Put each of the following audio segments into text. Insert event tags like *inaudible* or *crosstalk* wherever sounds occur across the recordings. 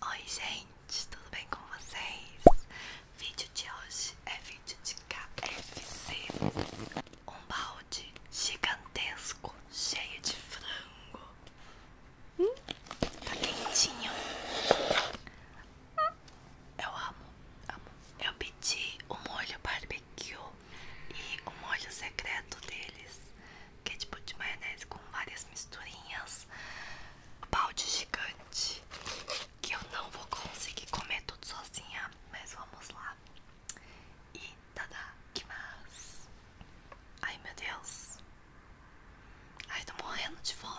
Oi, gente, tudo bem com vocês? Vídeo de hoje é vídeo de KFC, um balde gigantesco cheio de frango. Hum? Tá quentinho. Eu amo, amo. Eu pedi o molho barbecue e o molho secreto deles, que é tipo de maionese com várias misturinhas. Balde gigante, que eu não vou conseguir comer tudo sozinha, mas vamos lá. E tada, que mais? Ai meu Deus. Ai, tô morrendo de fome.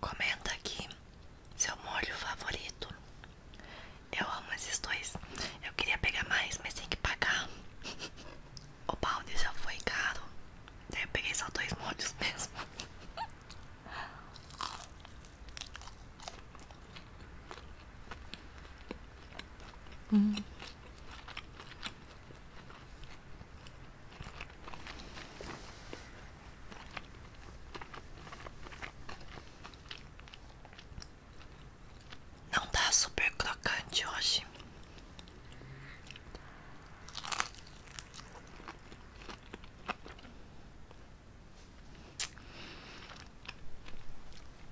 Comenta aqui seu molho favorito. Eu amo esses dois. Eu queria pegar mais, mas tem que pagar. O balde já foi caro. Daí eu peguei só dois molhos mesmo. Não tá super crocante hoje.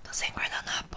Tô sem guardanapo.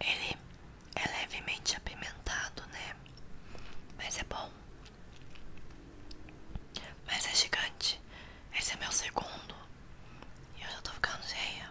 Ele é levemente apimentado, né? Mas é bom. Mas é gigante. Esse é meu segundo. E eu já tô ficando cheia.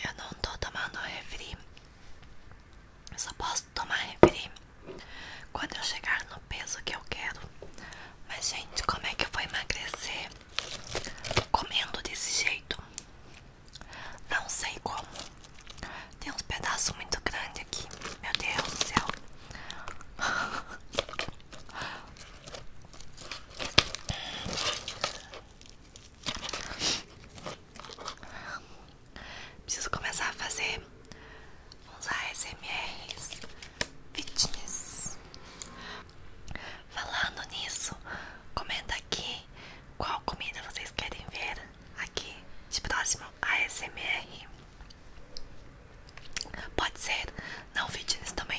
Eu não tô tomando refri. Eu só posso tomar refri quando eu chegar no peso que eu quero. Mas, gente, como é que eu vou emagrecer comendo desse jeito? Não sei como. Tem uns pedaços muito grandes aqui. Meu Deus do céu. Preciso começar a fazer uns ASMRs fitness. Falando nisso, comenta aqui qual comida vocês querem ver aqui de próximo ASMR. Pode ser não fitness também.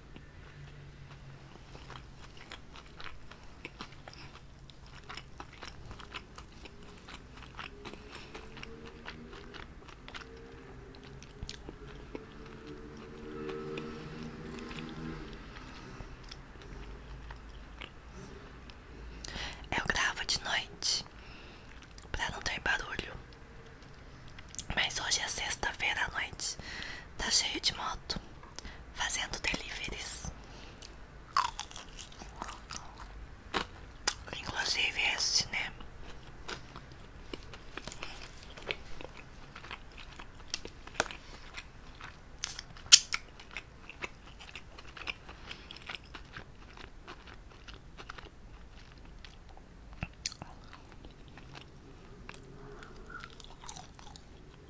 Eu gravo de noite para não ter barulho, mas hoje é sexta-feira à noite. Tá cheio de moto fazendo deliveries. Inclusive esse, né?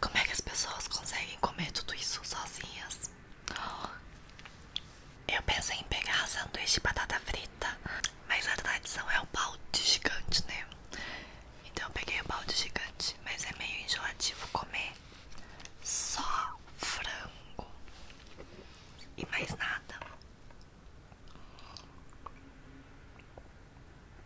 Como é que as pessoas conseguem comer tudo isso sozinhas? Eu pensei em pegar sanduíche de batata frita, mas a tradição é o balde gigante, né? Então eu peguei o balde gigante, mas é meio enjoativo comer só frango e mais nada.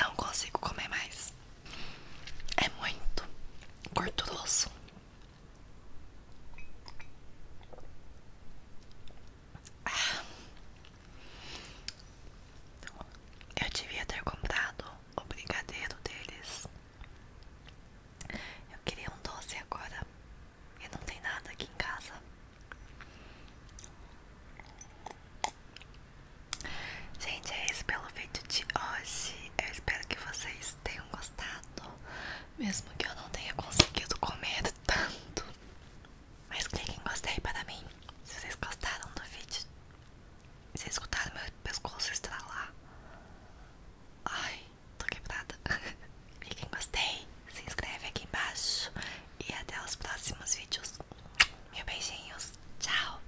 Não consigo comer mais. É muito gorduroso. Ah. Eu devia ter comprado o brigadeiro deles. Eu queria um doce agora e não tem nada aqui em casa. Gente, é esse pelo feito de hoje eu espero que vocês tenham gostado, mesmo que eu não tenha conseguido comer tanto. Mas cliquem em gostei para mim, se vocês gostaram do vídeo. Se escutaram meu pescoço estralar. Ai, tô quebrada. *laughs* clique em gostei, se inscreve aqui embaixo e até os próximos vídeos. meus beijinhos, tchau!